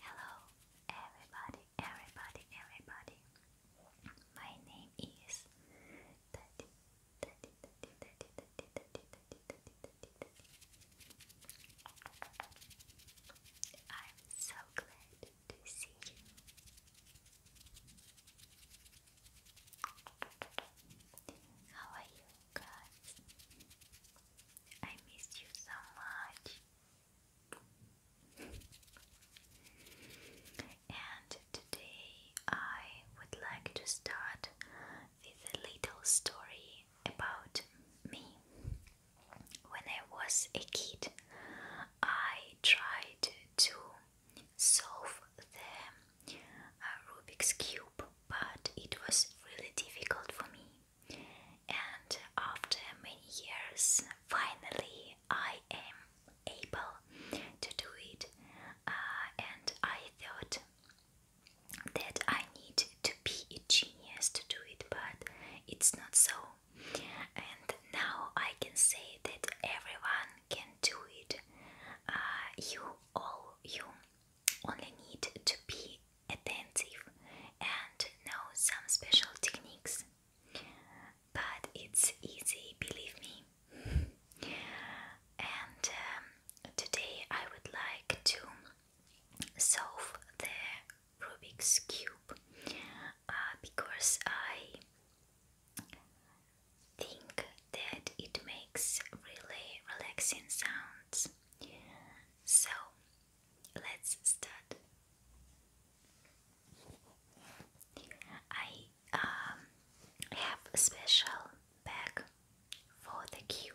Hello, everybody, everybody, everybody. My name is I'm so glad to see you. How are you guys? I miss you so much. and today I would like to start with a little story about me. When I was a kid, I tried to solve the uh, Rubik's Cube, but it was really difficult for me. And after many years, finally, I am able to do it. Uh, and I thought that I need to be a genius to do it, but it's not so. And now I can say that everyone can do it. Uh, you all, you only need to be attentive and know some special techniques. But it's easy, believe me. And um, today I would like to solve the Rubik's Cube uh, because I think that it makes really relaxing sounds. So let's start. I um, have a special bag for the cube.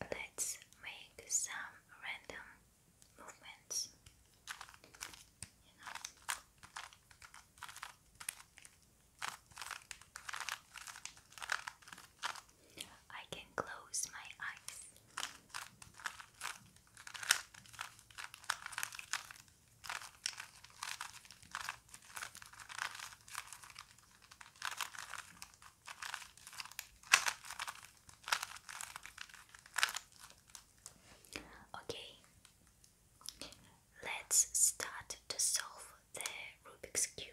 Let's make some random movements. I can close my eyes. Okay, let's start to solve the Rubik's Cube.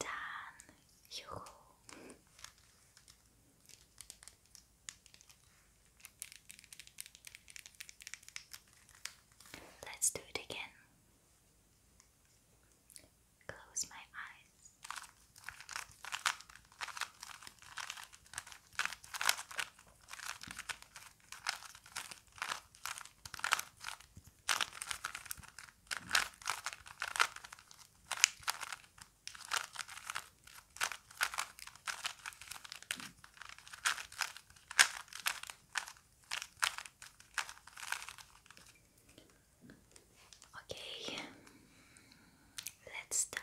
Dan Hugo Let's do it again. Close my eyes. Okay, let's start.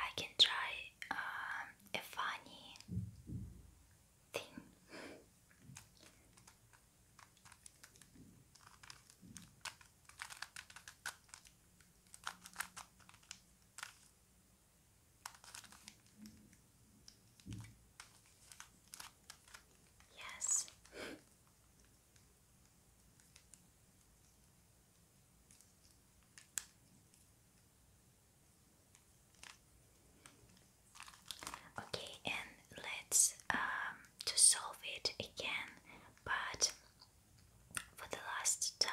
I can try um, a funny thing. Yes. Okay, and let's um, to solve it again, but for the last time.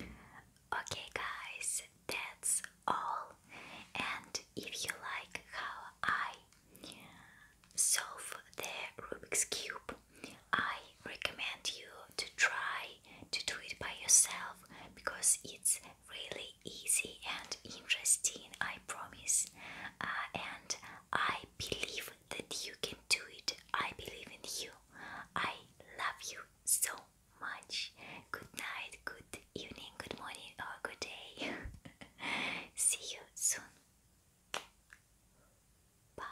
Okay, guys, that's all. And if you like how I solve the Rubik's Cube, I recommend you to try to do it by yourself because it's really easy and interesting, I promise. Uh, and I believe that you can do it. I believe in you. I love you so much. Good night, good evening, good morning, or good day. See you soon. Bye.